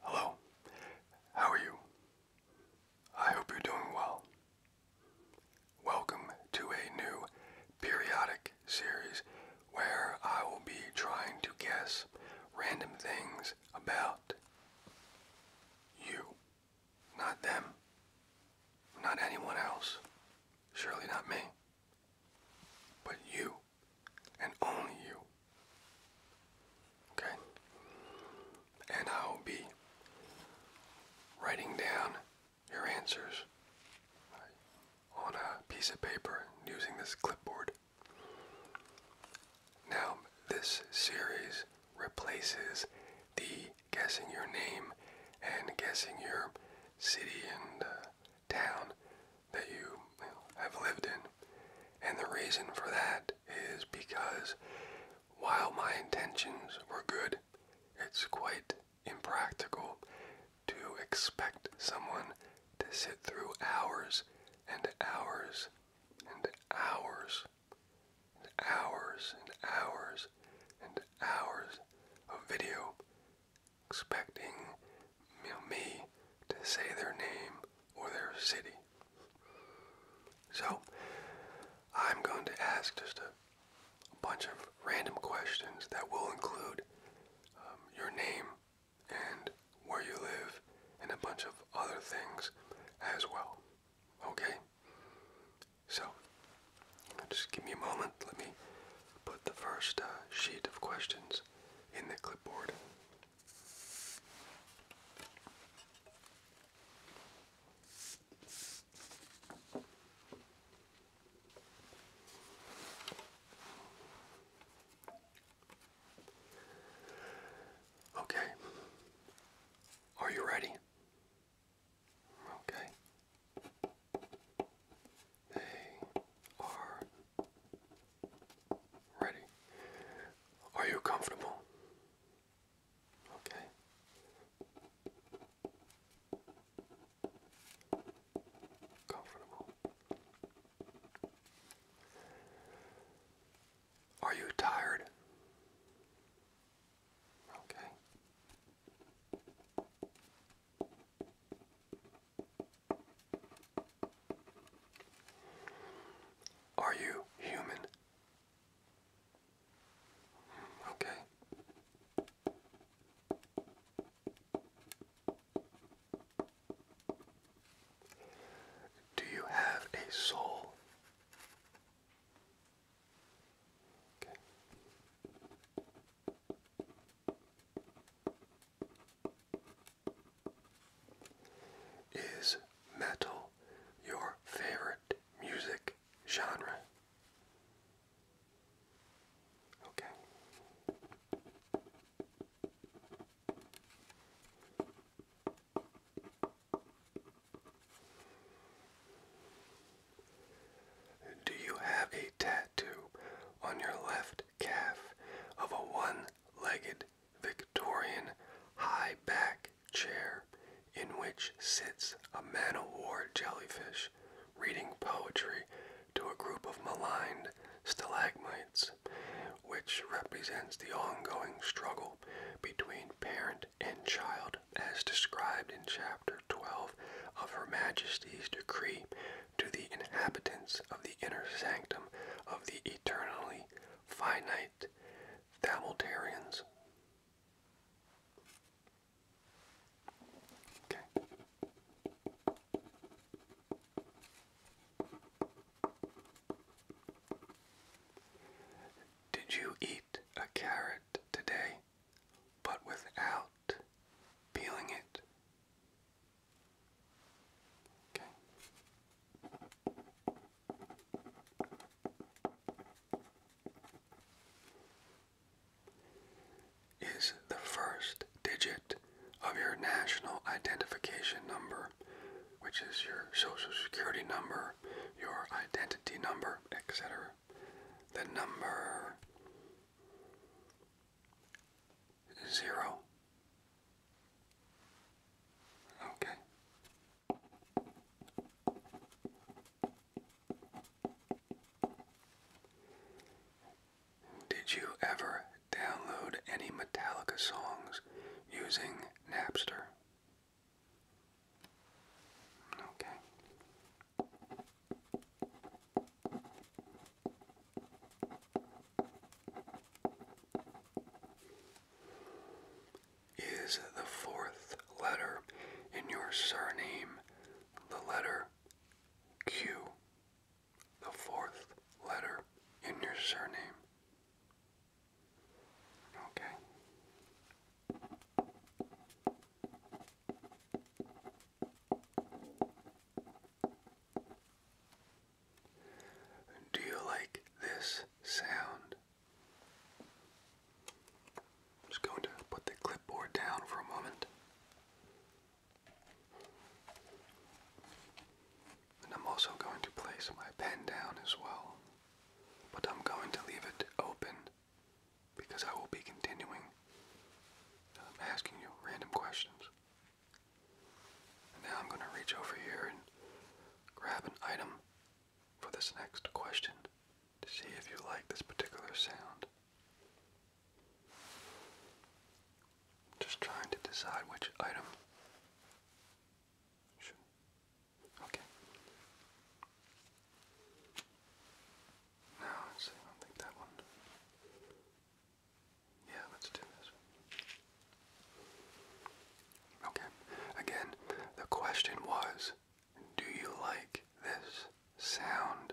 Hello, how are you? I hope you're doing well. Welcome to a new periodic series where I will be trying to guess random things about you. Not them, not anyone else, surely not me, but you and only you. Okay? And I'll be writing down your answers on a piece of paper using this clipboard. Now, this series replaces the guessing your name and guessing your city and uh, town that you, have lived in. And the reason for that is because while my intentions were good, it's quite impractical to expect someone to sit through hours and hours and hours and hours and hours and hours of video expecting me to say their name or their city. So, I'm going to ask just a bunch of random questions that will include um, your name and where you live and a bunch of other things as well. Okay? So, just give me a moment. Let me put the first uh, sheet of questions in the clipboard. Okay. Are you ready? Okay. They Ready? Are you comfortable? Okay. Comfortable. Are you tired? Okay. Are you human? Okay. Do you have a soul? Okay. Is metal your favorite music genre? Okay. Do you have a tattoo on your left calf of a one legged Victorian high back chair in which sits a man o' war jellyfish reading poetry to a group of maligned stalagmites, which represents the ongoing struggle between parent and child as described in Chapter 12 of Her Majesty's Decree to the inhabitants of the inner sanctum of the eternally finite Thamiltarians. Did you eat a carrot today, but without peeling it? Okay. Is the first digit of your national identification number, which is your social security number, your identity number, etc., the number zero. Okay. Did you ever download any Metallica songs using Napster? Okay. Is the fourth letter in your surname the letter Q? The fourth letter in your surname. Okay. Do you like this sound? I'm just going to put the clipboard down for a moment. And I'm also going to place my pen down as well. But I'm going to leave it open because I will be continuing asking you random questions now I'm going to reach over here and grab an item for this next question to see if you like this particular sound. Just trying to decide which item. Okay. No, I don't think that one. Yeah, let's do this. Okay, again, the question was do you like this sound?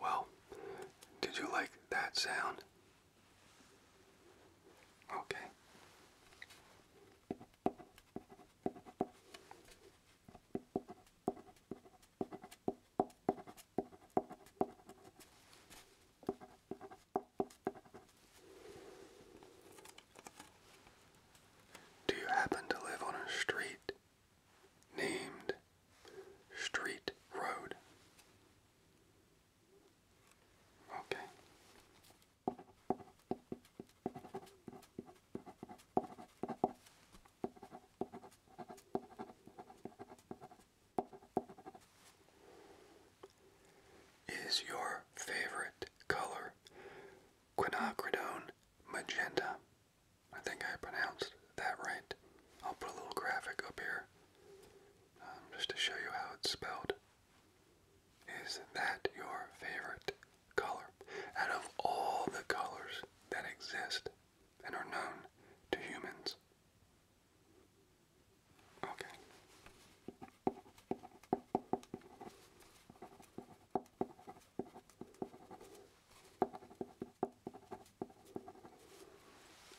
Well, did you like that sound? Okay. Do you happen to live on a street named Street Road? Okay. Is your favorite color quinacridone magenta. I think I pronounced that right. I'll put a little graphic up here um, just to show you how it's spelled. Is that your favorite color? Out of all the colors that exist and are known to humans. Okay.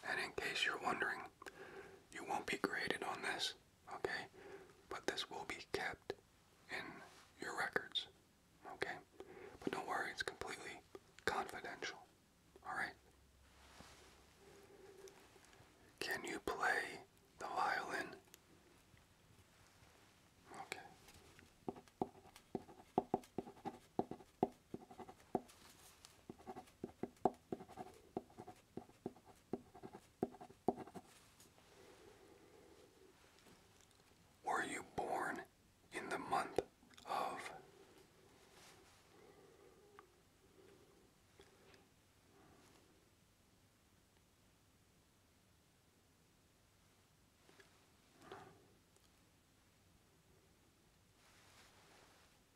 And in case you're wondering, you won't be graded on this, okay? But this will be kept in your records, okay? But don't worry, it's completely confidential, alright? Can you play the violin? Were you born in the month of?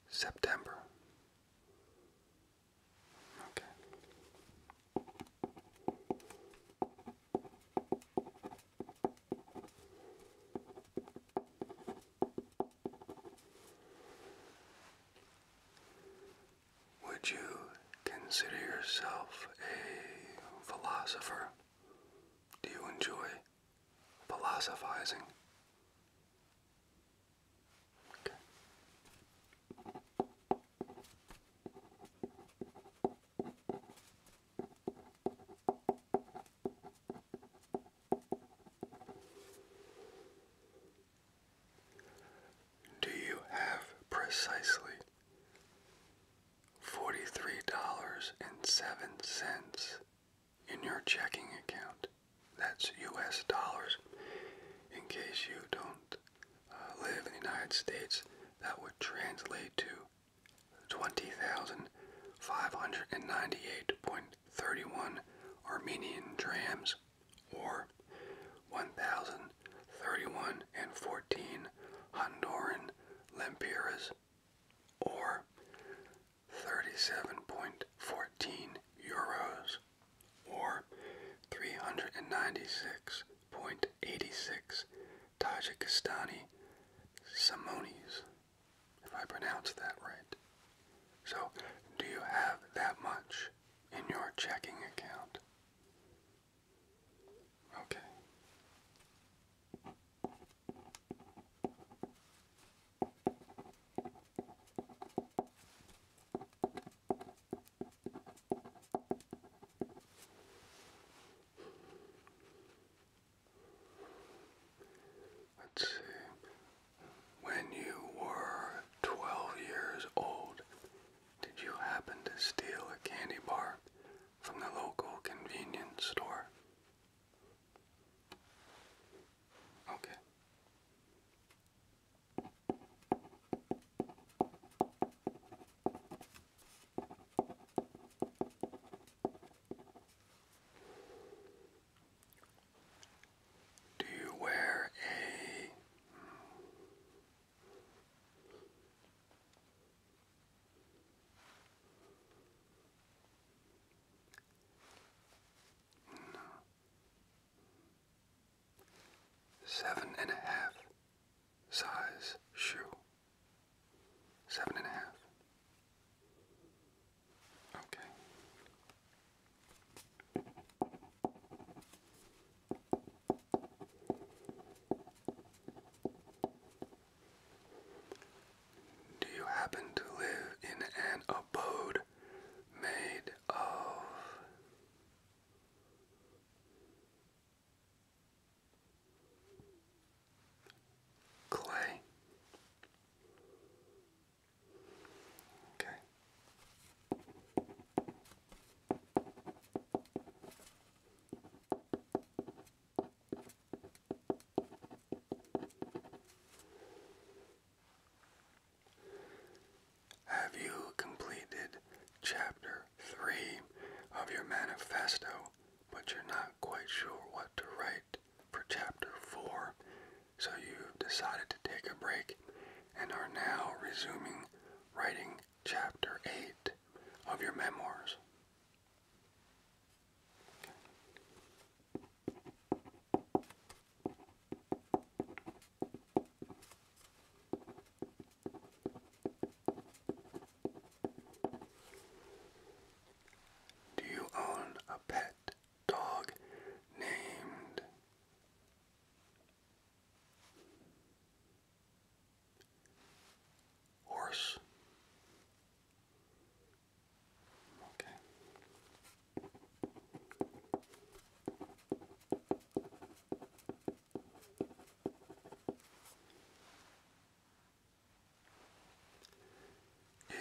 September. Okay. Would you consider yourself a philosopher? Do you enjoy philosophizing? Do you have precisely $43.07 in your checking account? That's US dollars. In case you don't uh, live in the United States, that would translate to 20,598.31 Armenian drams or 1,031 and 14 Honduran lempiras, or 37.14 euros, or 396.86 Tajikistani simonis, if I pronounce that right. So, do you have that much in your checking account? Okay. Let's see. When you were 12 years old, did you happen to steal a candy bar from the local convenience store? Okay. Do you wear a Seven and a half size shoe. Seven and a half. Okay. Do you happen to live in an abode made of? Clay. Okay. Have you completed chapter 3 of your manifesto, but you're not quite sure what to write for chapter 4, so you've decided to take a break and are now resuming writing chapter 8 of your memoirs. Do you own a pet dog named Horse. Okay.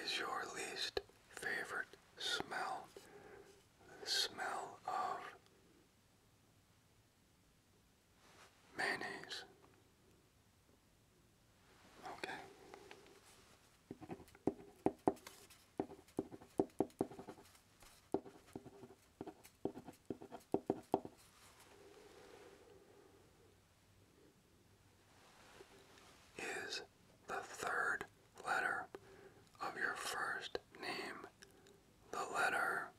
Is your least favorite smell the smell of Mayonnaise. Okay. Is the third letter of your first name the letter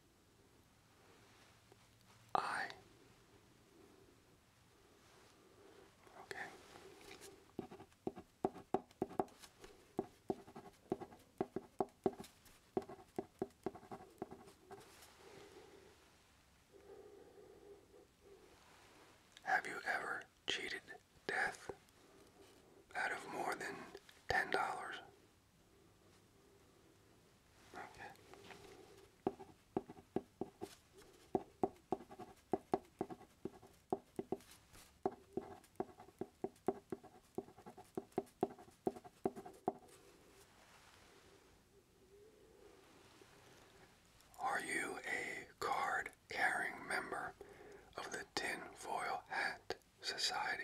I. Okay. Have you ever cheated death out of more than ten dollars? Okay. Are you a card carrying member of the Tin Foil Hat Society?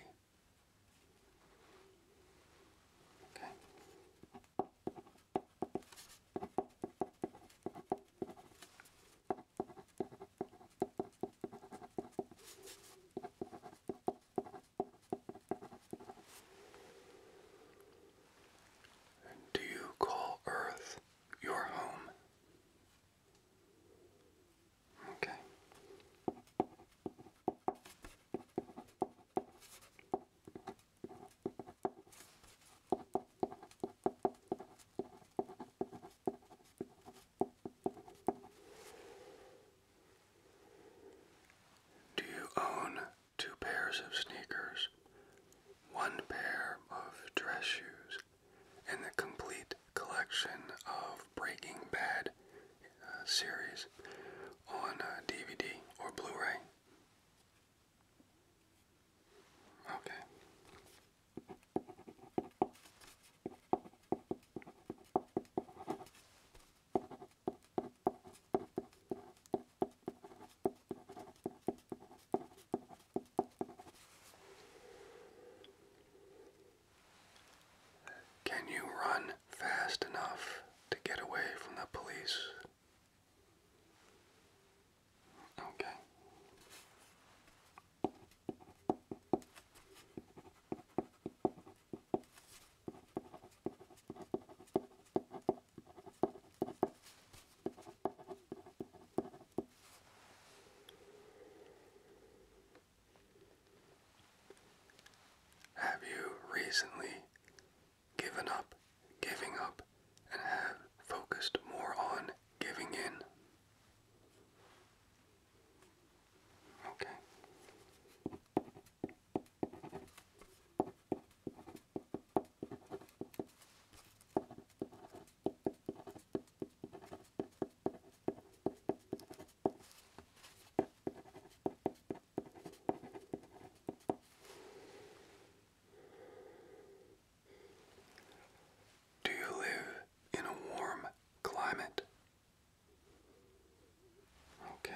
Do you call Earth your home? Okay. Do you own two pairs of sneakers, one pair of dress shoes, and the complete collection of Breaking Bad uh, series on DVD uh, or Blu ray. Okay. Can you run fast enough to get away from the police? Okay. Have you recently given up giving up and have focused more on giving in? Okay. Do you live in a warm climate? Okay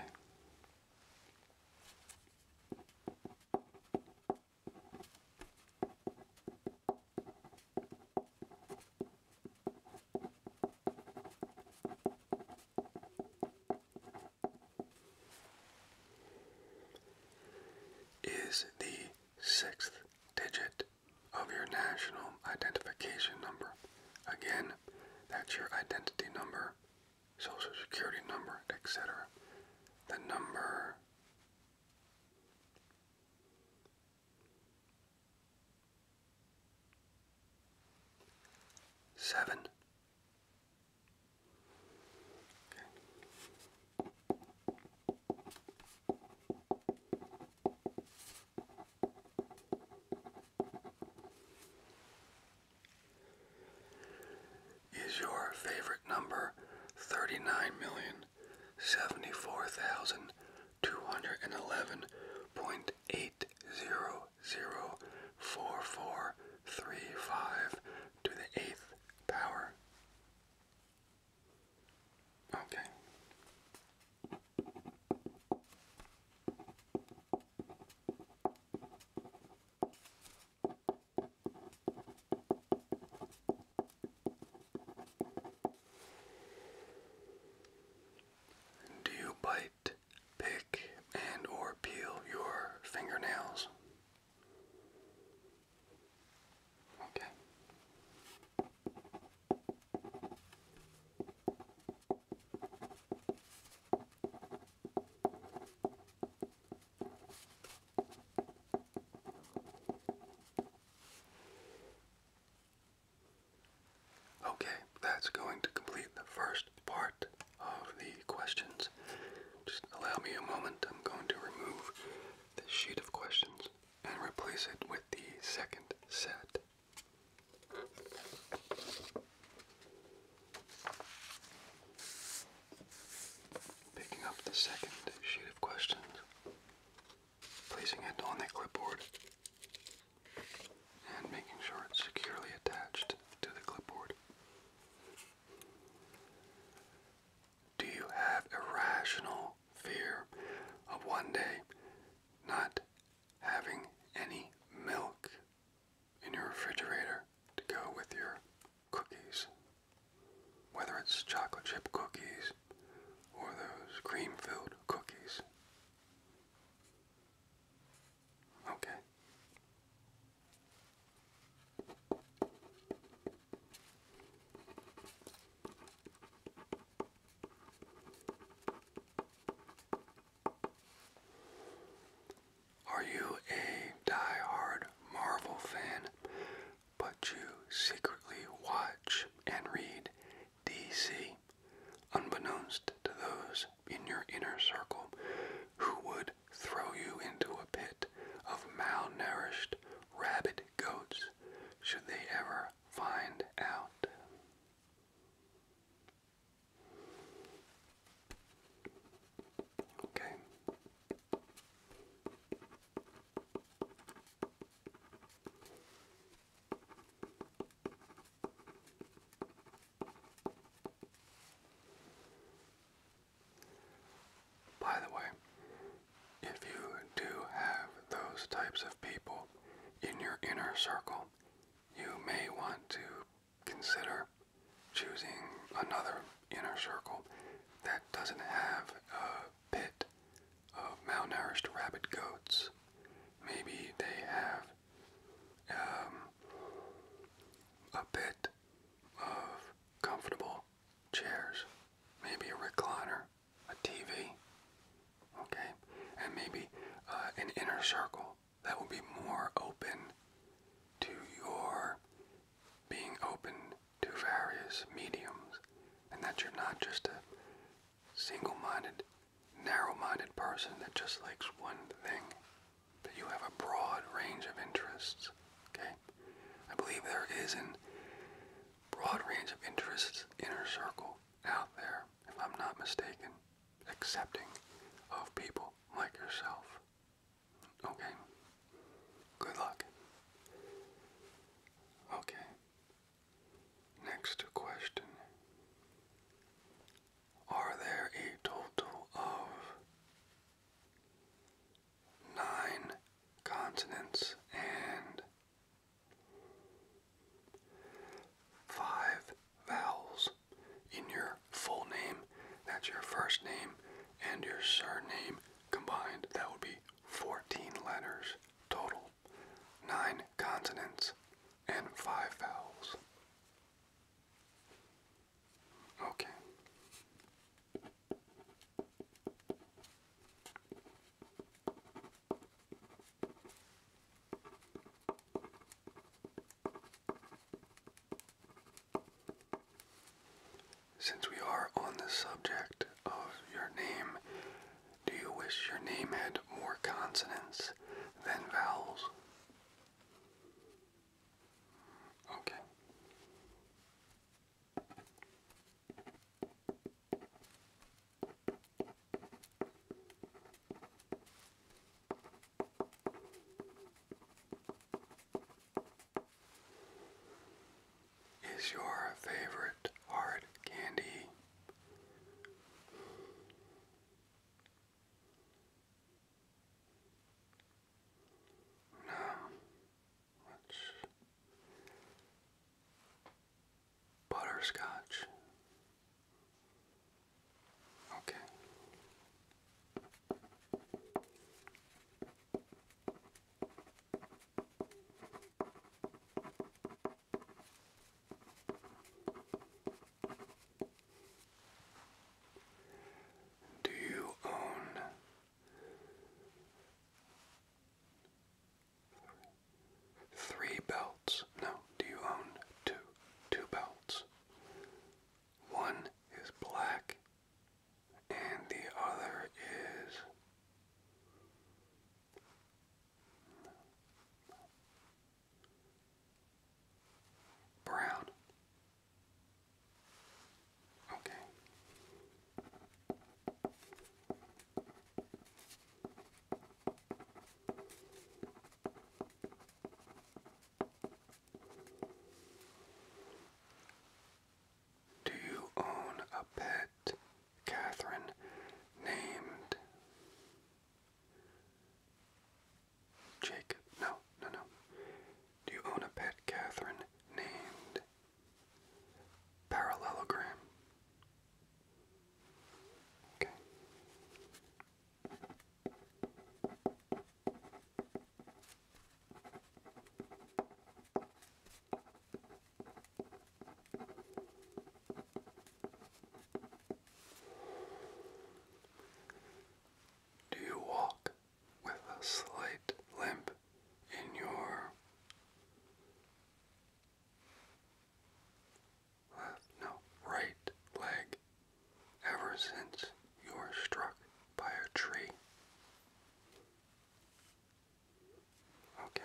is the sixth digit of your national identification number. Again, that's your identity number, social security number, etc. The number Seven. Is your favorite number thirty nine million seventy four thousand two hundred and eleven point eight zero zero four four three five to the eighth power. Okay. Do you bite, pick, and or peel your fingernails? Okay. Okay, that's going to complete the first part of the questions. Just allow me a moment. I'm going to remove this sheet of questions and replace it with the second set. Picking up the second sheet of questions placing it on the clipboard and making sure it's securely attached to the clipboard. Do you have irrational fear of one day not having any milk in your refrigerator to go with your cookies? Whether it's chocolate chip cookies or those cream filled cookies. Okay. Are you a die-hard Marvel fan, but you secretly watch and read DC, unbeknownst to those in your inner circle who would throw you into a pit of malnourished rabid goats should they ever find out. Okay. By the way, if you do have those types of people in your inner circle, you may want to consider choosing another inner circle that doesn't have a pit of malnourished rabid goats. Maybe they have um, a pit of comfortable chairs, maybe a recliner, a TV, okay, and maybe uh, an inner circle that will be more open to your being open to various mediums, and that you're not just a single minded, narrow minded person that just likes one thing, that you have a broad range of interests. Okay? I believe there is a broad range of interests inner circle out there, if I'm not mistaken, accepting of people like yourself. Okay? Good luck. Okay. Next question. Are there a total of nine continents and five vowels in your full name? That's your first name and your surname combined. That would be 14 letters total. Nine consonants, and five vowels. Okay. Since we are on the subject of your name, do you wish your name had more consonants than vowels? Okay. Is your favorite hard candy now, let butterscotch. Okay. Do you own three belts? No, do you own two? Two belts. One is black and the other is Brown. Okay. Do you own a pet? Catherine named Jake. No, no, no. Do you own a pet, Catherine, named Parallelogram? Okay. Do you walk with a slight limp in your left, no, right leg ever since you were struck by a tree? Okay.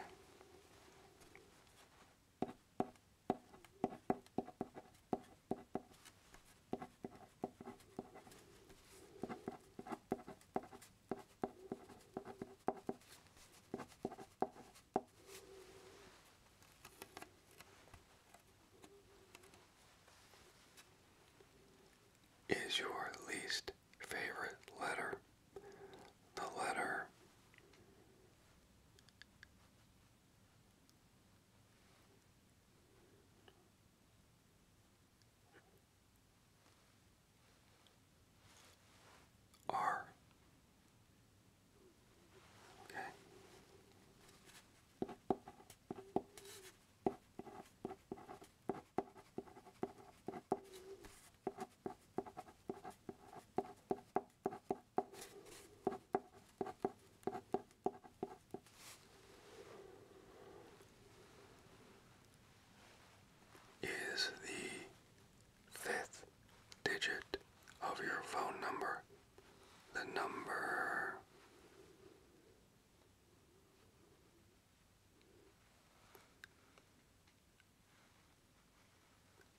Is your least favorite letter the letter R. Okay is the fifth digit of your phone number, the number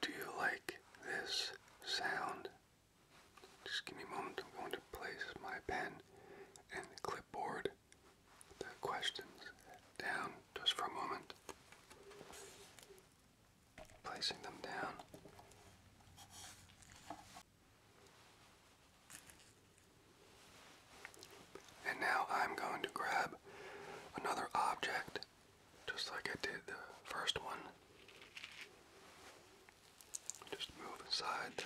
Do you like this sound? Just give me a moment. I'm going to place my pen and clipboard the questions down just for a moment. Placing them down. And now I'm going to grab another object, just like I did the first one. Just move aside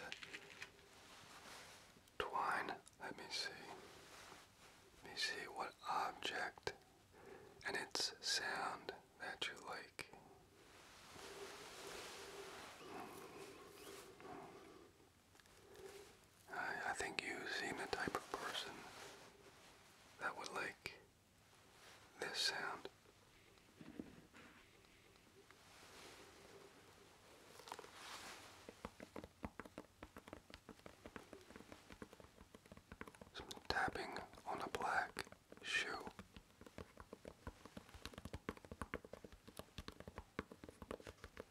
twine. Let me see. Let me see what object and its sound that you like. I, think you seem the type of person that would like this sound. tapping on a black shoe.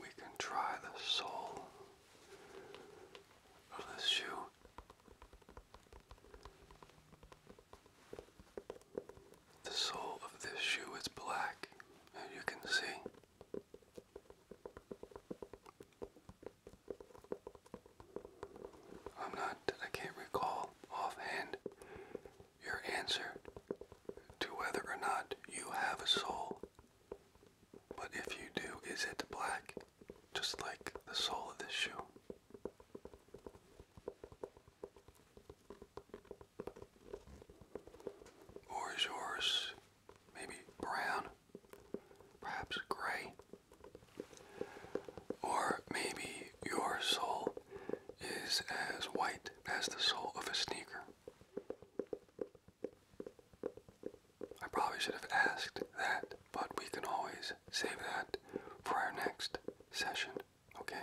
We can try the sole of this shoe. The sole of this shoe is black, as you can see. I'm not, I can't recall offhand your answer to whether or not you have a soul. But if you do, is it black? Just like the sole of this shoe. Or is yours maybe brown? Perhaps gray? Or maybe your soul is as white as the sole of a sneaker. I probably should have asked that, but we can always save that for our next session, okay?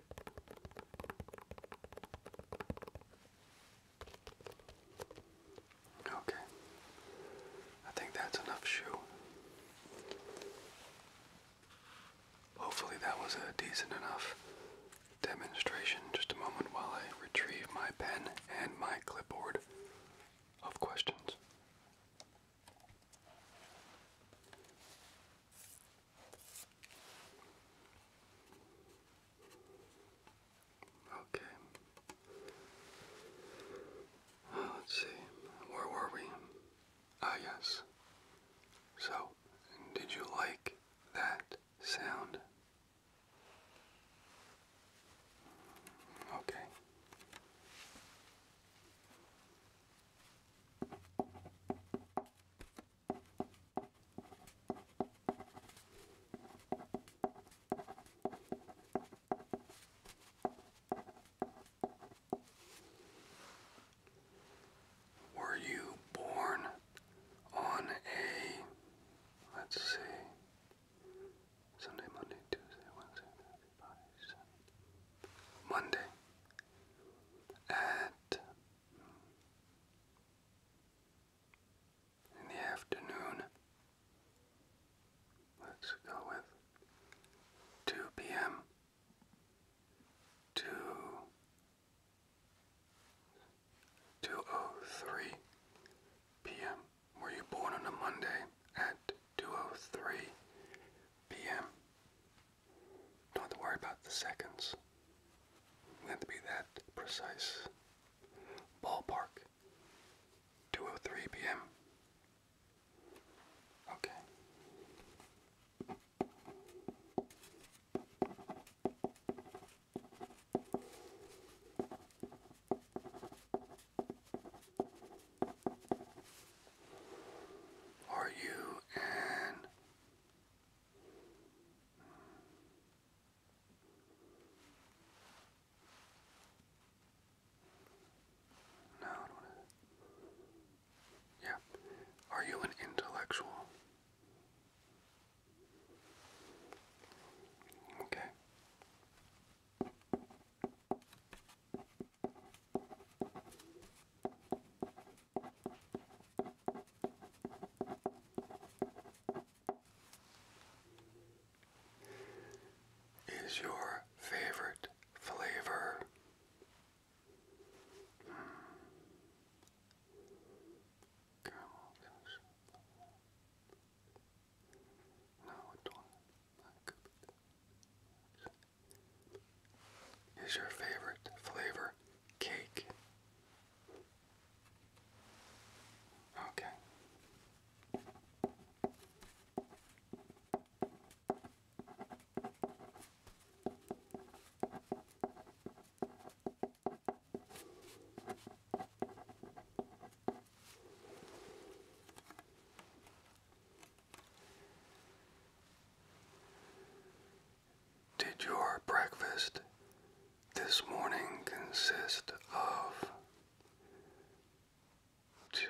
Okay. I think that's enough shoe. Hopefully, that was a decent enough demonstration. Just a moment while I retrieve my pen and my clipboard of questions. Okay. Uh, let's see. Where were we? Ah, yes. So, did you like that sound? Okay. Were you born on a, let's see, Sunday, Monday, Tuesday, Wednesday, Monday at in the afternoon. Let's go with 2 p.m. to 2.03 p.m. Were you born on a Monday at 2.03 p.m.? Don't have to worry about the seconds. We have to be that precise. Ballpark. 2.03 p.m. Okay. Are you an no, I don't wanna... Yeah. Are you an intellectual? Okay. Is your favorite flavor mm. No, it don't. That could is your favorite flavor cake? Okay. Did your breakfast this morning consist of two?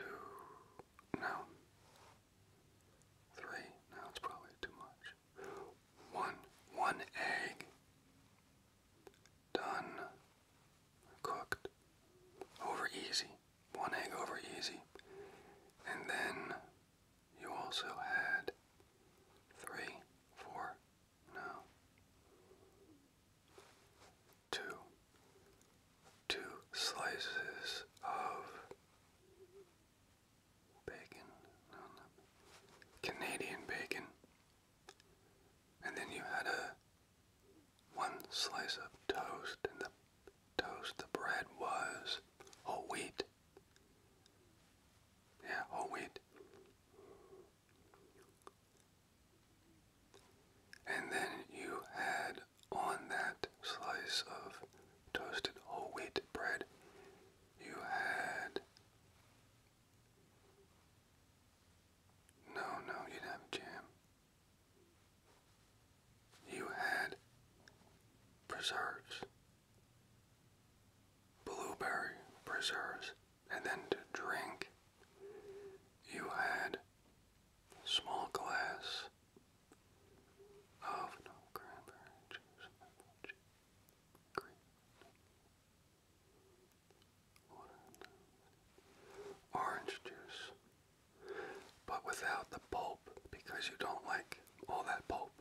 No. Three? No, it's probably too much. One. One egg. Done. Cooked. Over easy one egg over easy. And then you also had three, four, no, two, two slices of bacon, no, no, Canadian bacon. And then you had a one slice of toast in the toast the bread was whole wheat. Yeah, whole wheat. And then you had on that slice of toasted whole wheat bread, you had. No, no, you didn't have jam. You had preserves, blueberry preserves, and then to drink, you had small glass of cranberry juice, juice orange juice, but without the pulp because you don't like all that pulp.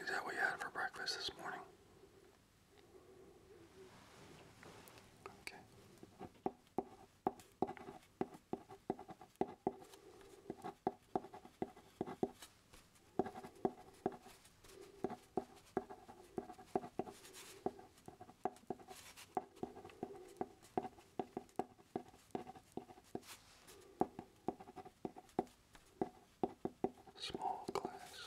Is that what you had for breakfast this morning? Okay. Small class.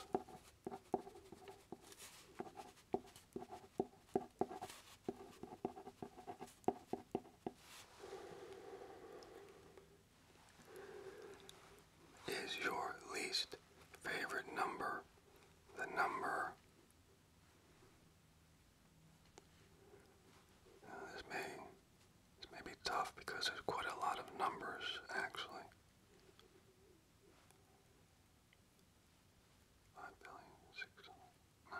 Is your least favorite number the number this may this may be tough because there's quite a lot of numbers actually. Five billion, six hundred. No,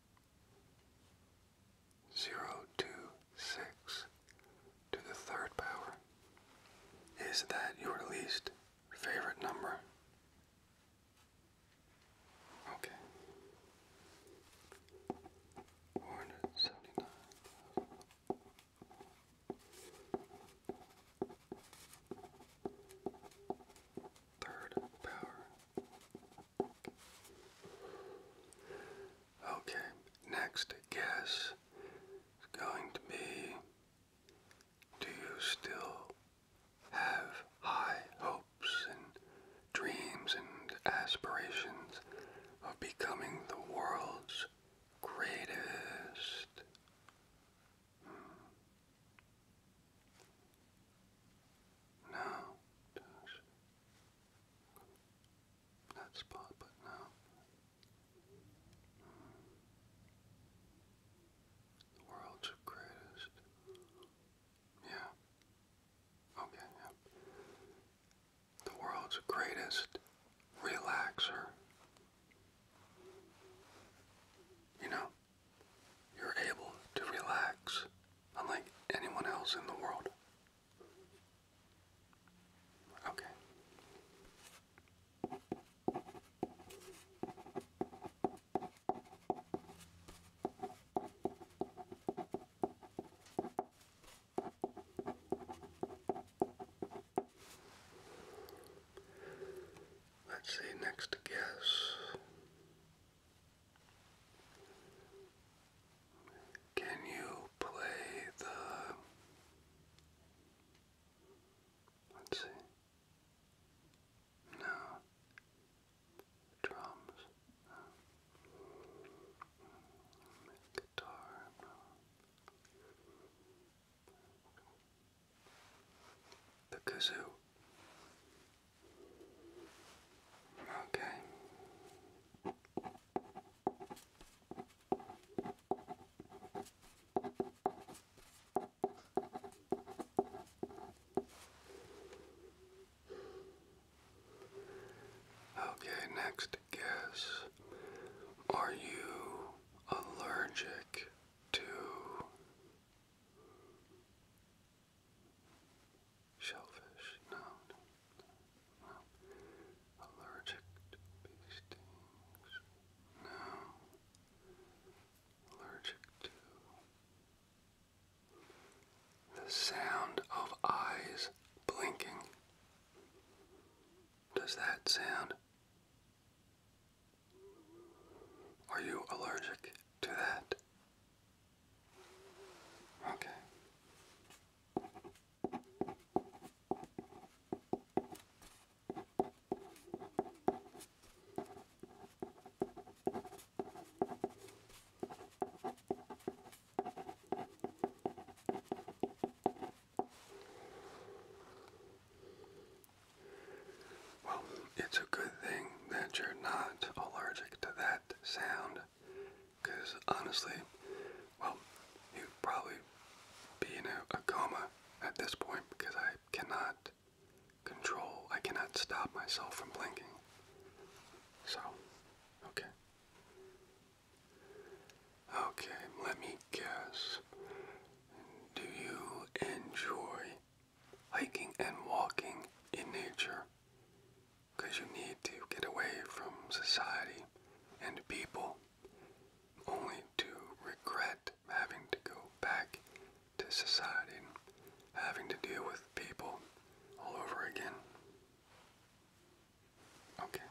Zero two six to the third power. Is that your least favorite number? Okay. Four hundred seventy nine. Third power. Okay, next guess is going to be Do you still have high hopes and dreams and aspirations of becoming the world's greatest? Hmm. No. That spot, but no. The world's greatest. Yeah. Okay, The world's greatest relaxer. You know, you're able to relax unlike anyone else in the world. Okay. Let's see, next guess can you play the let's see. No. Drums. Guitar. The kazoo. Okay. Okay, next guess. Are you allergic to Shellfish, no, Allergic to bee stings, no. Allergic to the sound of eyes blinking. Does that sound? Are you allergic to that? Okay. Well, it's a good thing that you're not allergic to that sound because honestly, well, he would probably be in a coma at this point because I cannot control, I cannot stop myself from blinking. So, okay. Okay, let me guess. Do you enjoy hiking and walking in nature? because you need to get away from society and people, only to regret having to go back to society having to deal with people all over again. Okay.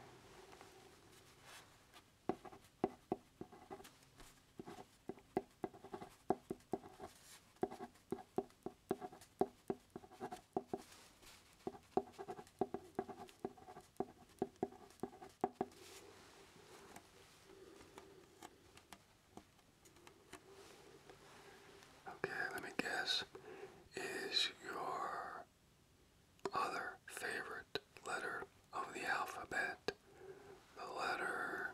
Okay, let me guess. Is your other favorite letter of the alphabet the letter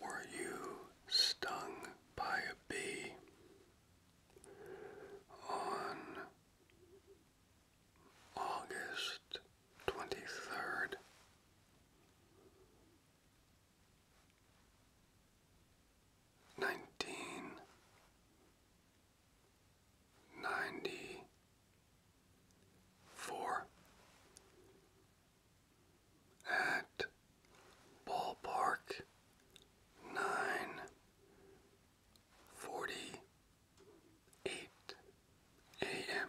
Were you stung by a bee on August twenty third? nineteen ninety four at ballpark nine forty eight a.m.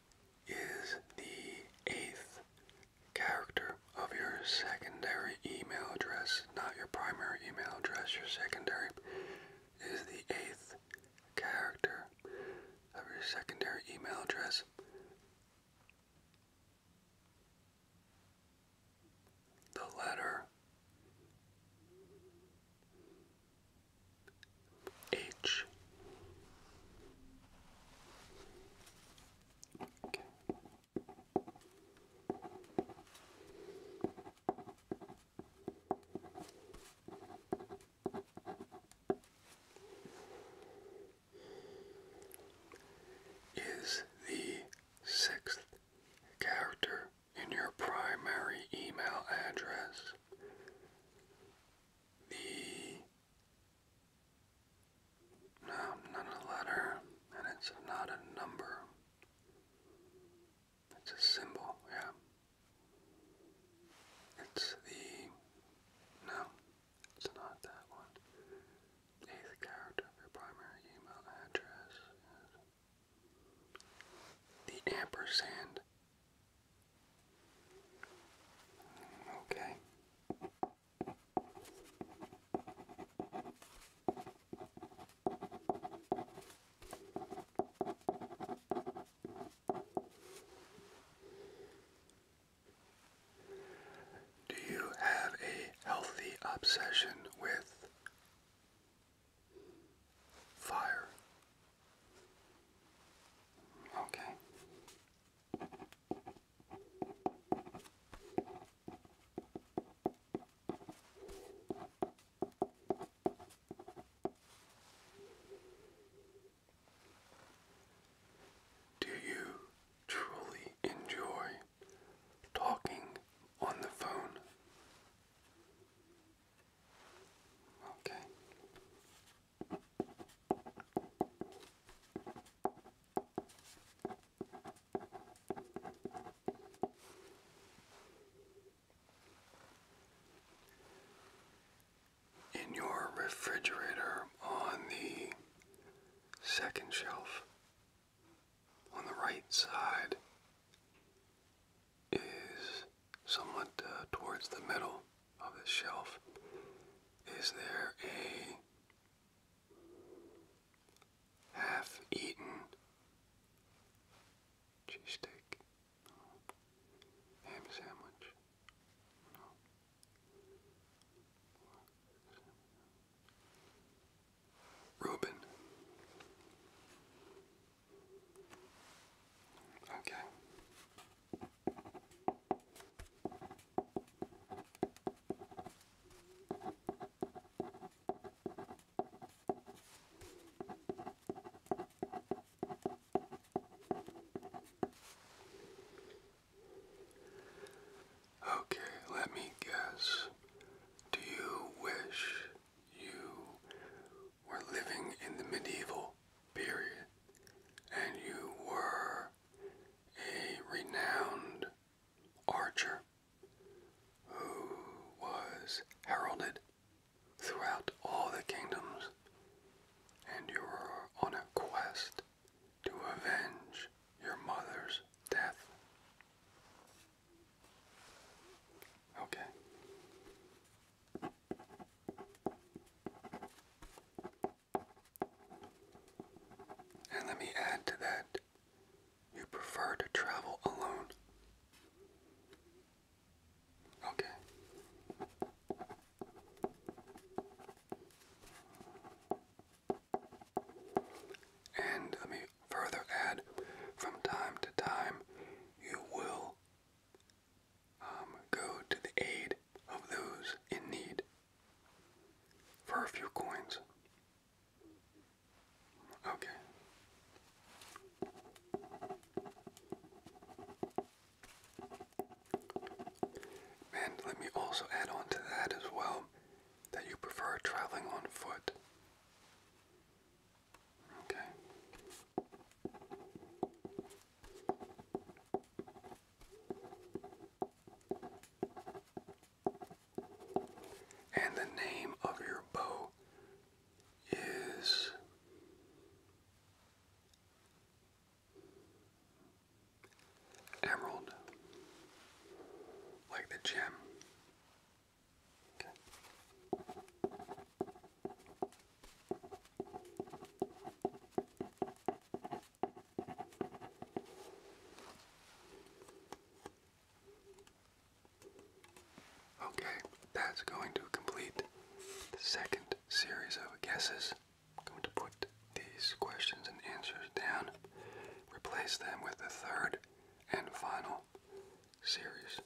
is the eighth character of your secondary email address, not your primary email address, your secondary is the eighth character of your secondary email address. The letter H. Is the sixth character in your primary email address the no, not a letter, and it's not a number. It's a symbol, yeah. It's the no, it's not that one. Eighth character of your primary email address. The ampersand Okay. Do you have a healthy obsession with fire? Okay. Do you truly enjoy talking on the phone? Okay. In your refrigerator on the second shelf on the right side is somewhat uh, towards the middle of the shelf. Is there a half eaten cheesesteak? No. Ham sandwich? Reuben. Okay. Okay, let me guess. Do you wish you were living in the medieval period, and you were a renowned archer who was heralded throughout all the kingdoms, and you were on a quest to avenge your mother's death. Okay. And let me add to that, you prefer to travel alone. Okay. And let me further add, from time to time, you will um, go to the aid of those in need for a few coins. Okay. And let me also add on to that as well that you prefer traveling on foot. Okay. And the name of your bow is Emerald, like the gem. Okay, that's going to complete the second series of guesses. I'm going to put these questions and answers down, replace them with the third and final series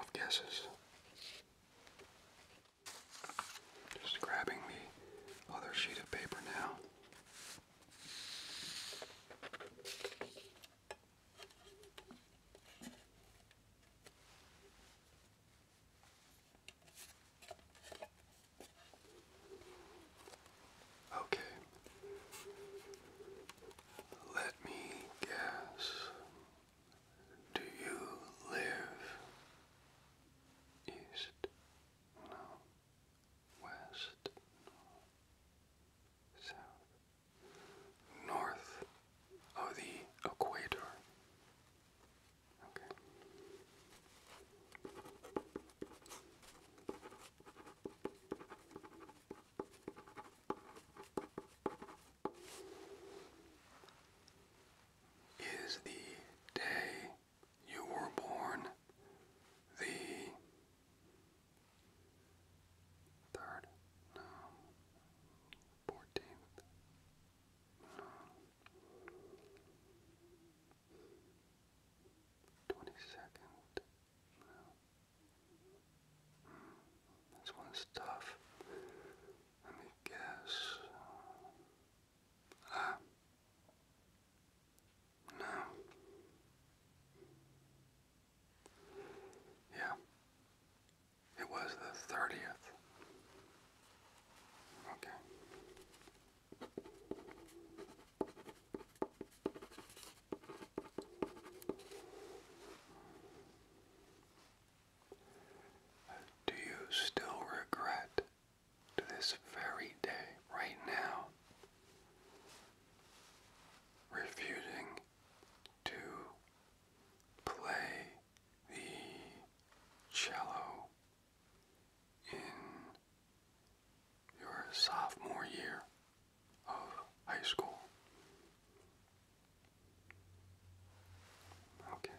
of guesses. Just grabbing the other sheet of paper now. Okay. Let me guess. Do you live east? No. West? South? North of the equator. Okay is the day you were born, the third, no, fourteenth, no, twenty-second, no. Hmm, this one's tough. Let me guess. Ah. No. Yeah. It was the 30th. Okay. Do you still regret to this very day, right now, refusing to play the cello in your sophomore year of high school? Okay.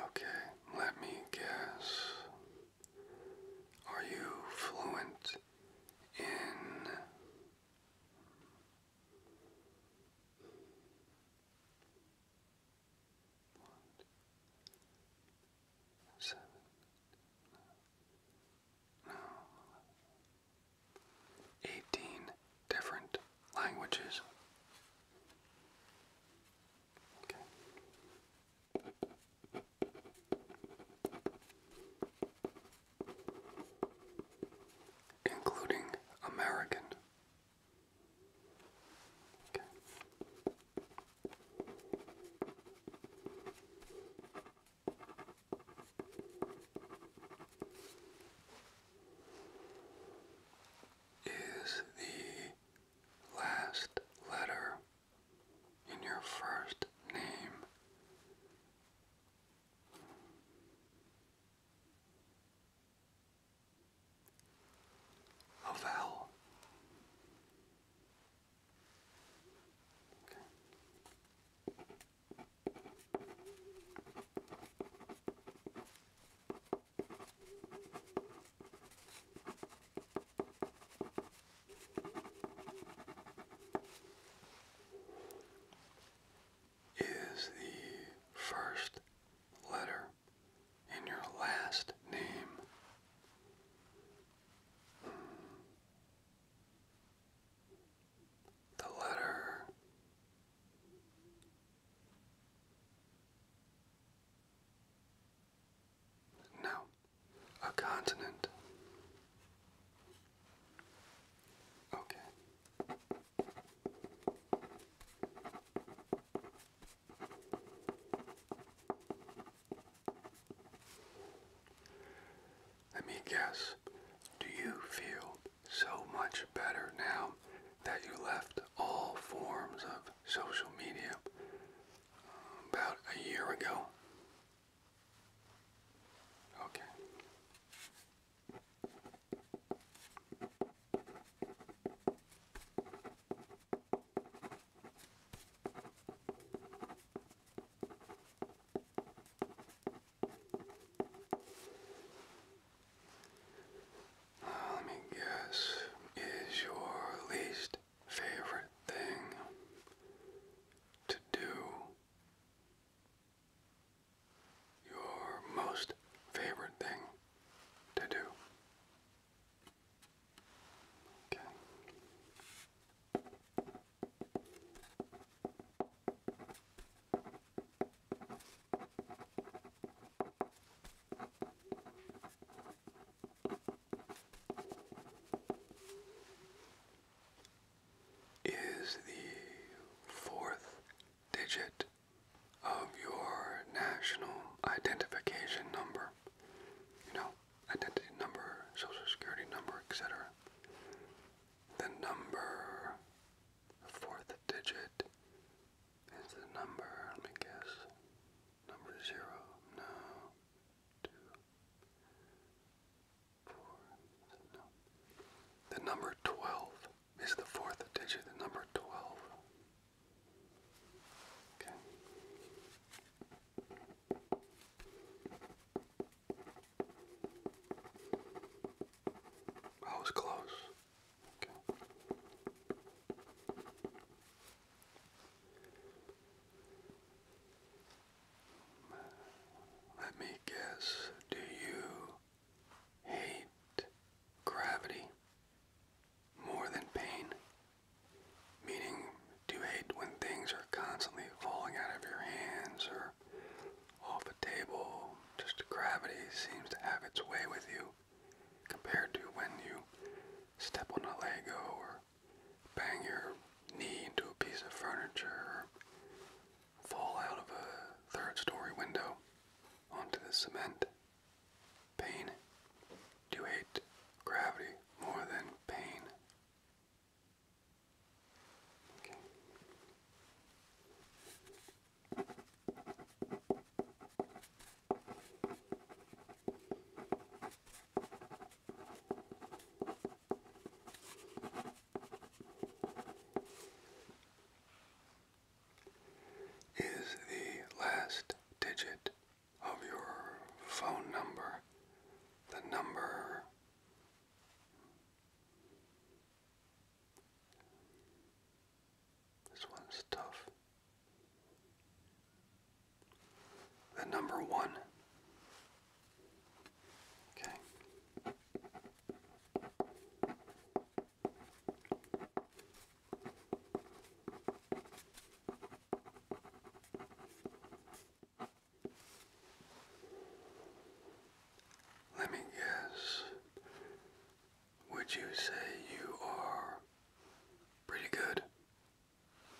Okay, let me guess. Are you fluent in what? different languages. Okay including American. Is the last letter in your first name. A vowel is the first letter in your last name. The letter no, a continent. Okay. Let me guess. Do you feel so much better now that you left all forms of social media about a year ago. Okay. let me guess, is your least favorite thing to do. Your most favorite thing to do. Okay is the fourth digit of your national identification number. You know, identity number, social security number, etc. The number, the fourth digit is the number, let me guess. Number zero now. Two. Four. No. The number twelve is the fourth digit. The number twelve. Okay. I was close. Okay. Let me guess, do you hate gravity more than pain? Meaning, do you hate when things are constantly falling out of your hands or off a table? Just gravity seems to have its way with you compared to when you step on a Lego or bang your knee into a piece of furniture, or fall out of a third story window onto the cement. Pain. Do you hate gravity more than pain? Okay is the last digit of your phone number, the number this one's tough. The number one. Okay. Let me guess. Would you say you are pretty good?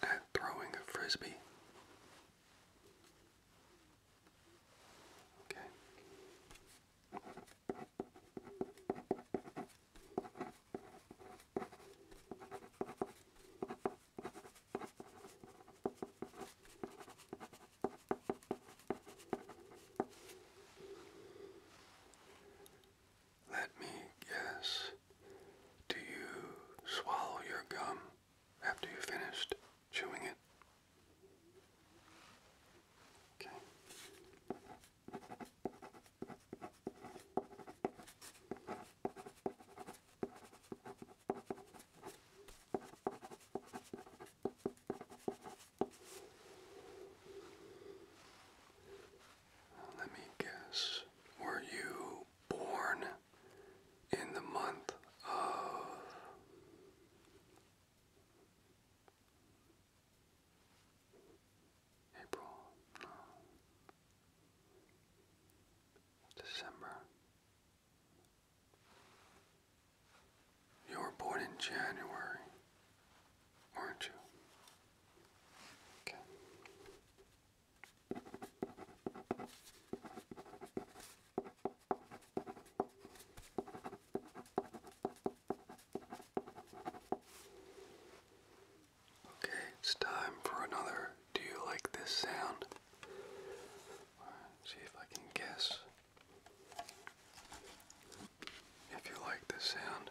at throwing a frisbee. Okay. Let me guess. Do you swallow your gum after you finished chewing it? Okay. Let me guess. Were you born in the month of April? December. You were born in January, weren't you? Okay. Okay, it's time for another. Do you like this sound? see if I can guess. If you like this sound,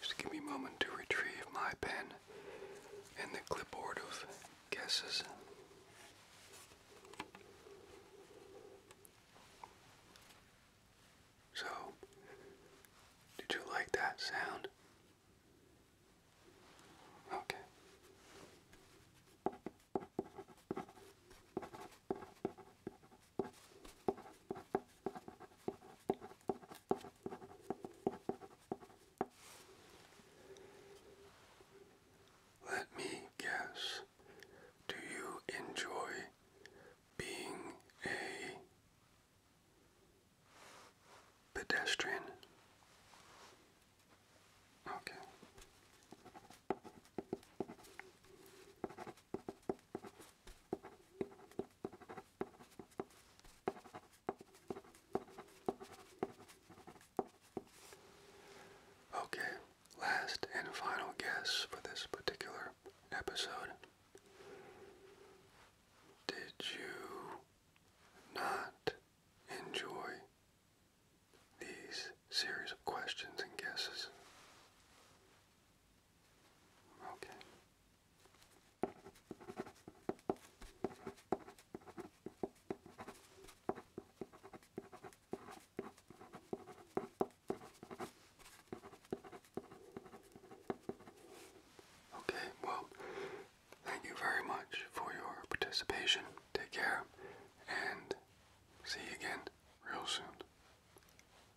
Just give me a moment to retrieve my pen and the clipboard of guesses. So, did you like that sound? Okay. Let me guess. Do you enjoy being a pedestrian? Okay. Okay, last and final guess for this particular episode. Did you not enjoy these series of questions and guesses? Okay. Okay, well, thank you very much for your participation. Take care and see you again real soon.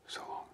So long.